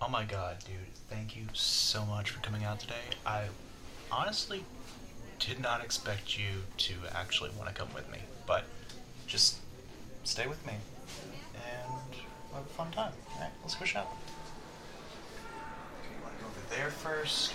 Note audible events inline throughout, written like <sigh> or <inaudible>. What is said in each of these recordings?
Oh my god, dude, thank you so much for coming out today. I honestly did not expect you to actually want to come with me, but just stay with me and have a fun time. Alright, let's go shopping. Okay, you want to go over there first?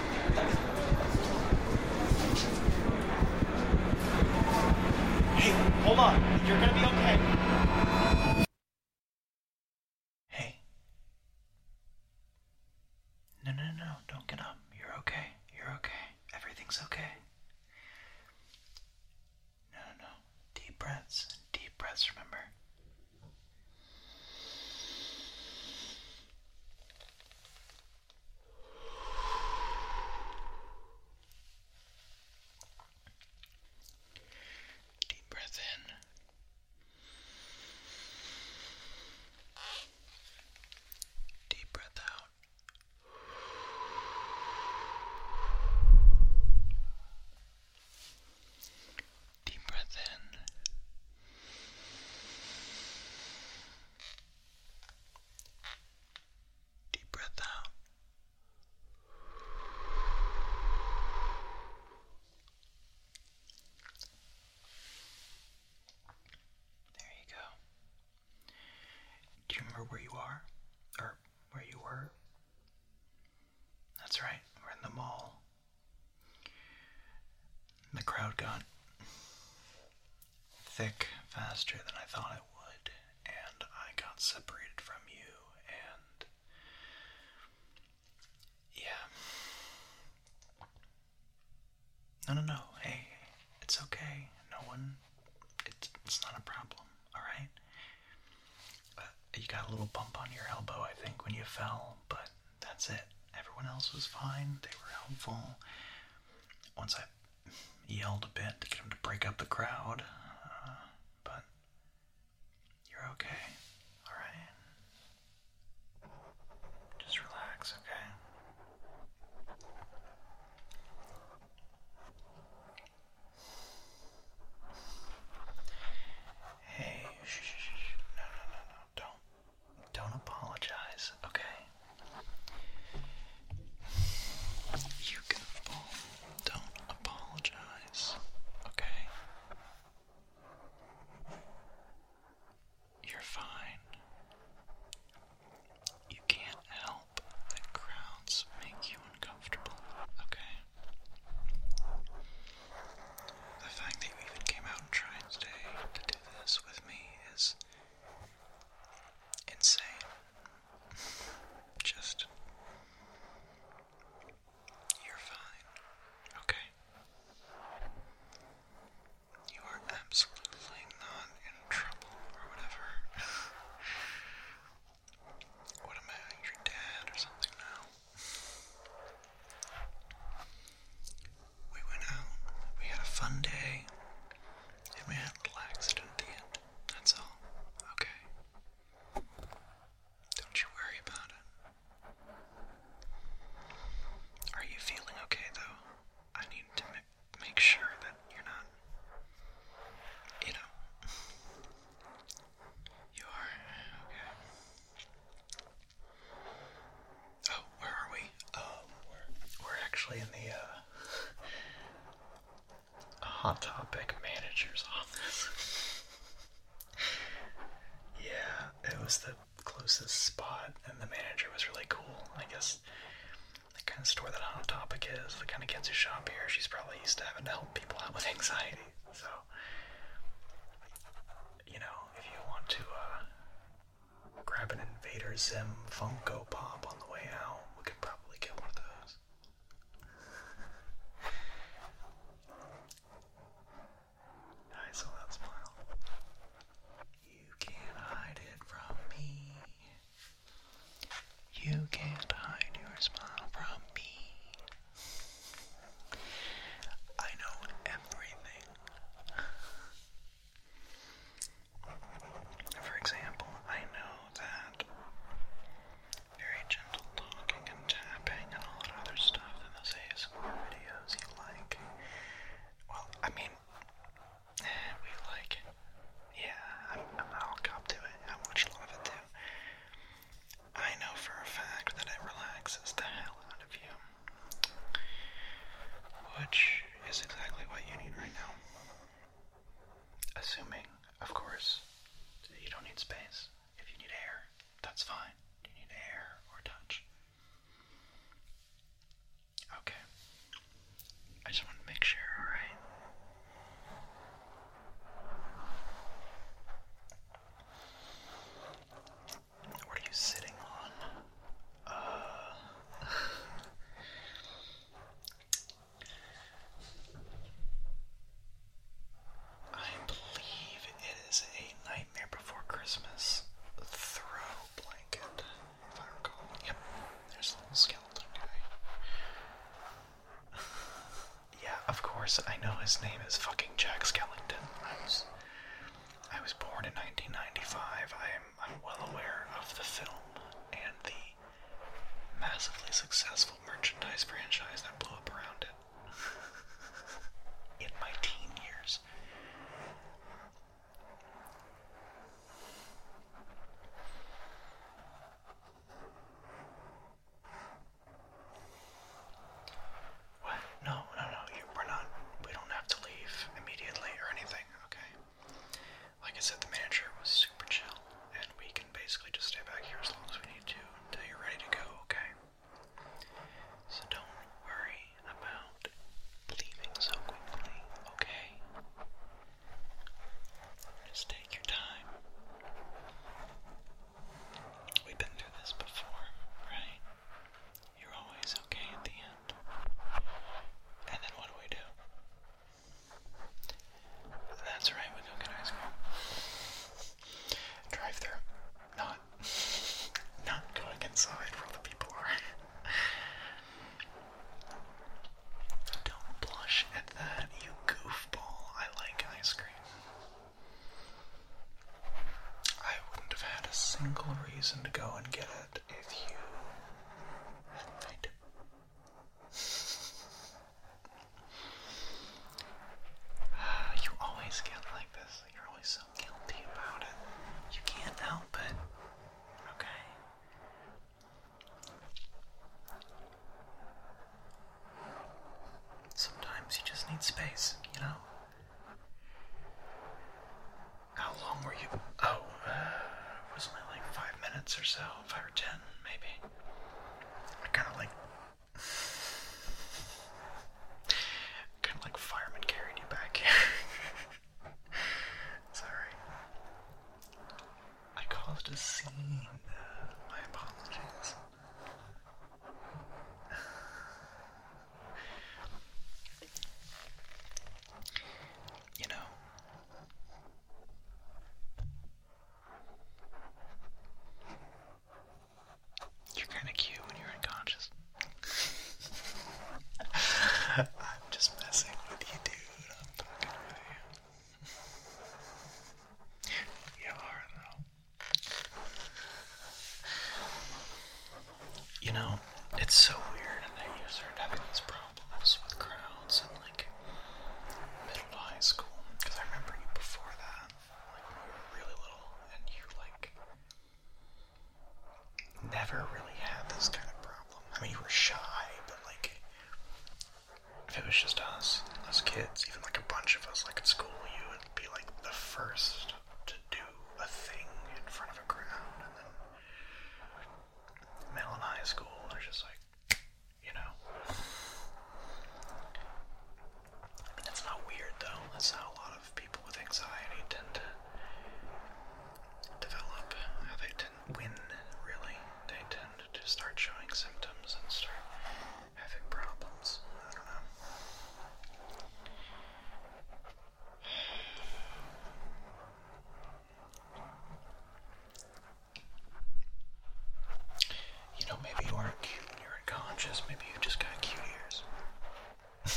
Hey, hold on. You're gonna be okay. Hey. No, no, no, don't get up. You're okay. You're okay. Everything's okay. No, no, no. Deep breaths. Deep breaths, remember. Deep breath in. Deep breath out. Deep breath in. Deep breath out. There you go. Do you remember where you are? Or where you were? That's right, we're in the mall. The crowd got thick faster than I thought it would, and I got separated from you, and yeah. No, no, no. Hey, it's okay. No one. It's, it's not a problem, alright? you got a little bump on your elbow, I think, when you fell, but that's it. Everyone else was fine. They were helpful once I yelled a bit to get him to break up the crowd, uh, but you're okay. All right. Just relax, okay? Hey, shh, shh, shh. No, no, no, no. Don't. Don't apologize, okay? You goofball, don't apologize, okay? You're fine. You can't help that crowds make you uncomfortable, okay? The fact that you even came out and tried to do this with me is insane. Just. You're fine. Okay. You are absolutely not in trouble or whatever. <sighs> what am your dad or something now? We went out, we had a fun day, and we had a little accident at the end. That's all. Okay. Don't you worry about it. Are you feeling okay though? I need to make sure that you're not, you know. <laughs> You are? Okay. Oh, where are we? we're, um, we're actually in the uh, Hot Topic manager's office. <laughs> yeah, it was the closest spot, and the manager was really cool. I guess the kind of store that Hot Topic is, the kind of kids who shop here, she's probably used to having to help people out with anxiety. So, you know, if you want to uh, Grab an Invader Zim Funko Pop on the way out. We could probably get one of those. I saw that smile. You can't hide it from me. You can't hide your smile from me. I know everything. For example, I know that very gentle talking and tapping and all that other stuff in those ASMR videos you like. Well, I mean, <sighs> we like it. Yeah, I'm, I'm not all cop to it. I watch a lot of it too. I know for a fact that it relaxes the hell out of you. Which is exactly what you need right now. Assuming, of course, that you don't need space. If you need air, that's fine. You need air or touch. Okay. I just want to make sure, alright? What are you sitting on? <sighs> I believe it is a Nightmare Before Christmas throw blanket, if I recall. Yep, there's a little skeleton guy. <sighs> yeah, of course, I know his name is fucking Jack Skellington. I was, I was born in 1995. I I'm well aware of the film and the massively successful merchandise franchise that blew up around it. In my teen years. What? No, no, no. You, we're not. We don't have to leave immediately or anything. Okay. Like I said, the manager was super chill, and we can basically just stay back here as long as we need to until you're ready to go, okay? So don't worry about leaving so quickly, okay? Just take your time. We've been through this before, right? You're always okay at the end. And then what do we do? That's right, we go get ice cream. Drive through. Not not going inside where the people are. Don't blush at that, you goofball. I like ice cream. I wouldn't have had a single reason to go and get it if you hadn't <sighs> you always get like this. You're always so guilty about it. You can't help it. Okay? Sometimes you just need space, you know? How long were you? Oh, uh, it was only like five minutes or so, five or ten, maybe. I kind of like. Kind of like firemen carried you back here. <laughs> Sorry. I caused a scene. my apologies. you know, you're kind of cute when you're unconscious. <laughs> I'm just messing with you, dude. I'm talking with you. <laughs> You are, though. You know, it's so weird that you start having these problems problems with crowds in like middle to high school because I remember you before that, like when we were really little, and you like never really had this kind of problem. I mean, you were shy, but like if it was just us, us kids, even like a bunch of us, like at school, you would be like the first to do a thing in front of a crowd, Mellon High School, and I am just like, you know. that's not weird though. That's how a lot of people with anxiety tend to develop. How they tend to win, really. They tend to start showing symptoms and start having problems. I don't know. You know, maybe you aren't cute you're unconscious. Maybe you just got cute ears. <laughs>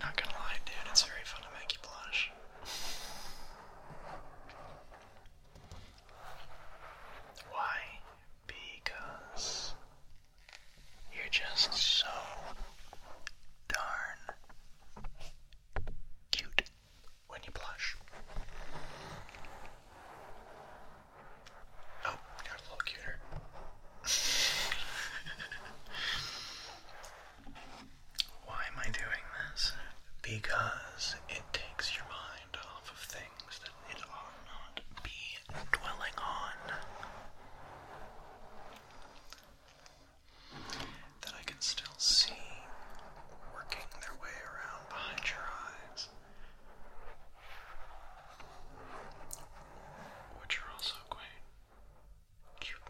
Not gonna lie, dude, it's very fun to make you blush. Why? Because you're just so darn cute when you blush. Oh, you a little cuter. <laughs> Why am I doing this? Because it takes your mind off of things that it ought not be dwelling on that I can still see working their way around behind your eyes, which are also quite cute.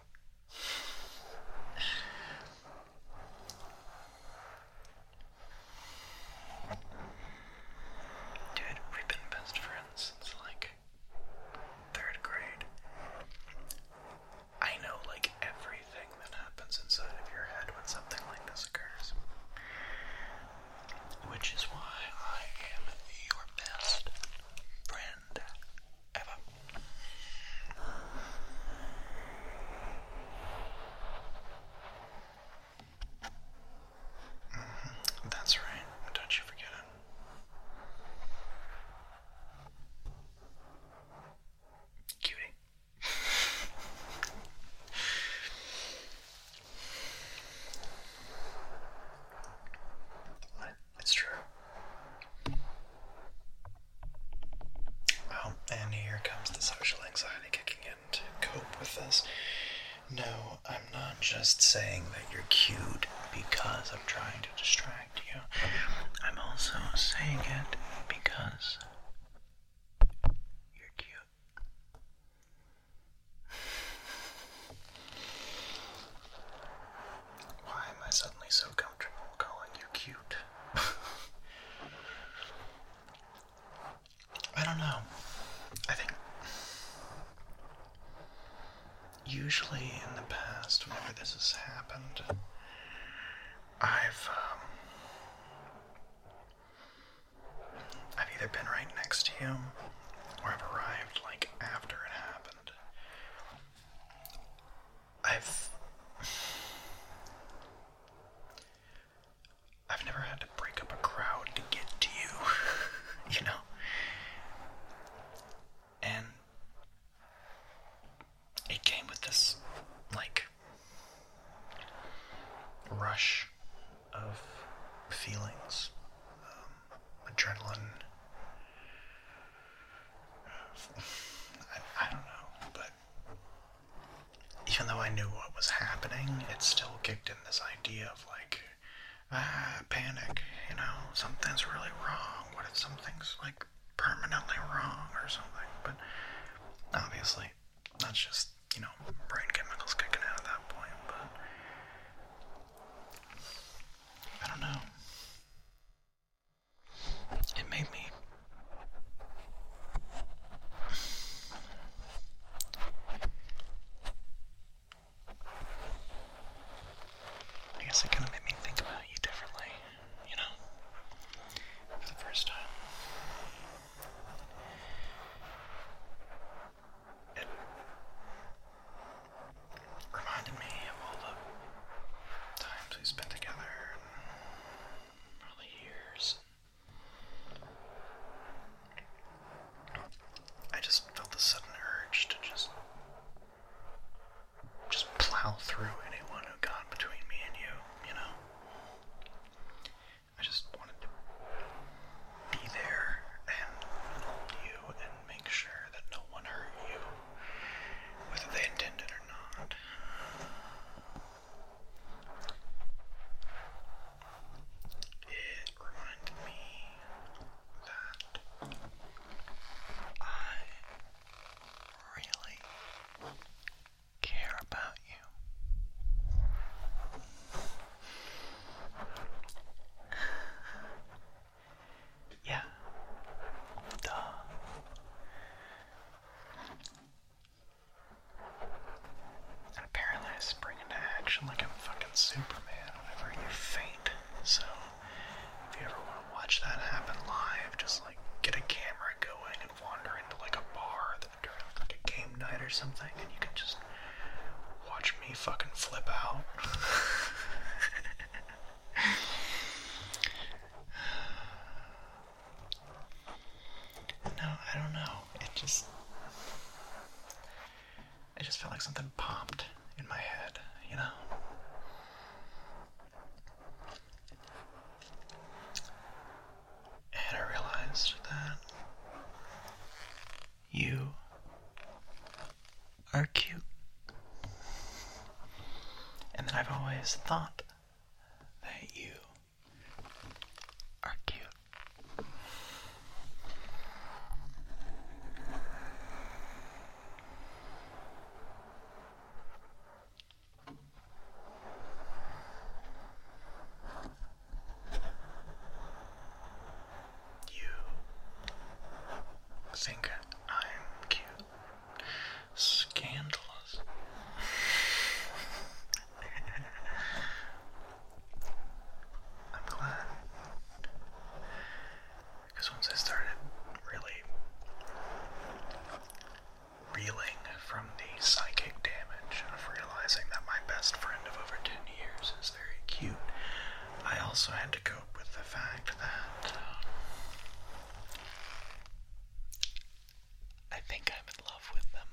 <sighs> Dude, we've been best friends since like third grade, I know like everything that happens inside of your head when something like this occurs. Which is why I am your best friend ever. Mm-hmm. That's right. Don't you forget Cutie. It's true. Oh, and here comes the social anxiety kicking in to cope with this. No, I'm not just saying that you're cute because I'm trying distract you. I'm also saying it because you're cute. Why am I suddenly so comfortable calling you cute? <laughs> I don't know. I think usually in the past, whenever this has happened, I've um, I've either been right next to you, or I've arrived like after it happened. I've I've never had to break up a crowd to get to you, <laughs> you know and it came with this like rush of feelings, um, adrenaline. I don't know, but even though I knew what was happening, it still kicked in this idea of like Ah, panic, you know, something's really wrong. What if something's like permanently wrong or something? But obviously, that's just, you know, brain chemicals kicking out at that point. But I don't know. It made me. I guess it kind of made me think about you differently, you know, for the first time. It reminded me of all the times we spent together and years. I just felt the sudden urge to just just plow through anyone who got between me and you, you know? I just wanted to be there and hold you and make sure that no one hurt you, whether they intended or not. It reminded me that I really care about you. yeah. Duh. apparently I spring into action like I'm fucking Superman whenever you faint, so if you ever want to watch that happen live, just like get a camera going and wander into like a bar that during like a game night or something, and you can just watch me fucking flip out. no, I don't know. It just. I just felt like something popped in my head, you know? And I realized that you are cute. And that I've always thought that you are cute. You think I'm cute. Scandalous. <laughs> I'm glad because once I started really reeling from the psychic damage of realizing that my best friend of over 10 years is very cute, I also had to cope with the fact that um, I think I'm in love with them.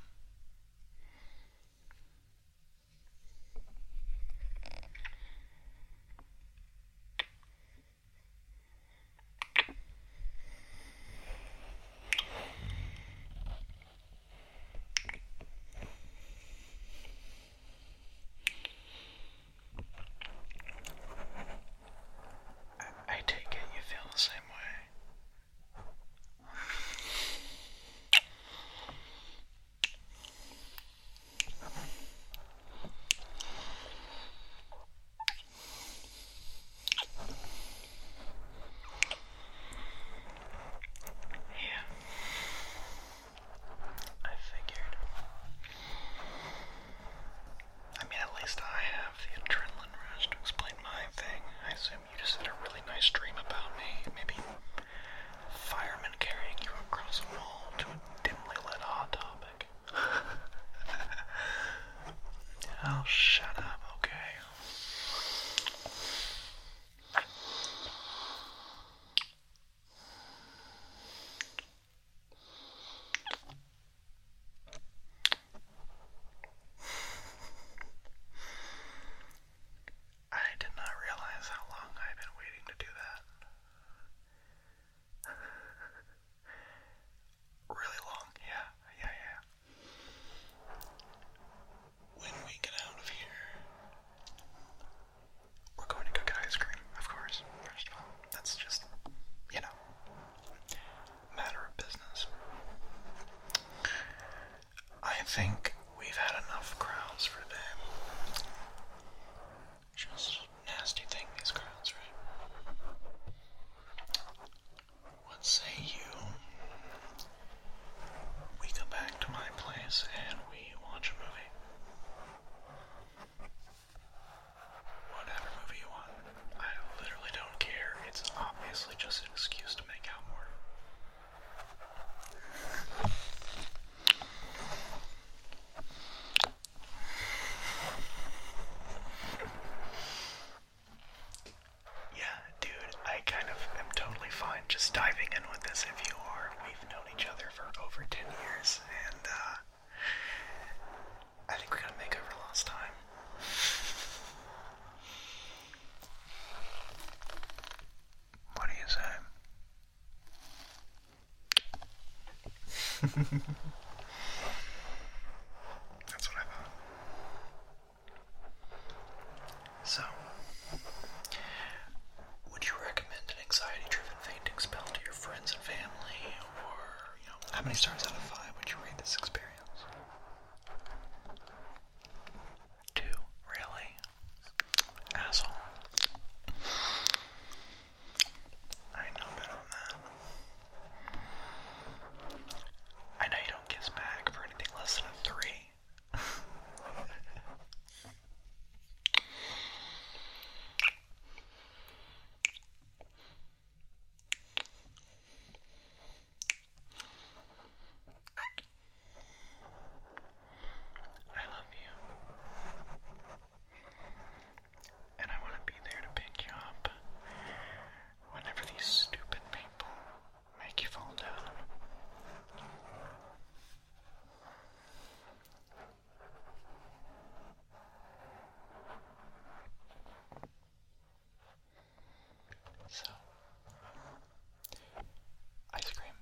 I, take it you feel the same way. Yeah. I figured. I mean, at least I have the adrenaline rush to explain my thing. I assume you just had a really nice dream about me. Maybe firemen carrying you across a wall to a dimly lit hot tub <laughs> Oh, shut up, okay? I did not realize how long I've been waiting to do that really long, yeah, yeah, yeah. When we get out of here, we're going to go get ice cream, of course, first of all. That's just, you know, matter of business. I think we've had enough crowds for them. Just nasty thing, these crowds, right? What say you? We go back to my place and we watch a movie. Whatever movie you want. I literally don't care. It's obviously just an excuse to make out more. Yeah, dude, I kind of am totally fine just diving in with this if you are. We've known each other for over 10 years, and uh, I think we're gonna make over lost time. What do you say? <laughs> That's what I thought. So, would you recommend an anxiety-driven fainting spell to your friends and family, or you know, how many stars out of five would you rate this experience? Two, really? Asshole. I know better than that. I know you don't kiss back for anything less than a three. <laughs> I love you. And I want to be there to pick you up whenever these stupid people make you fall down. So, ice cream.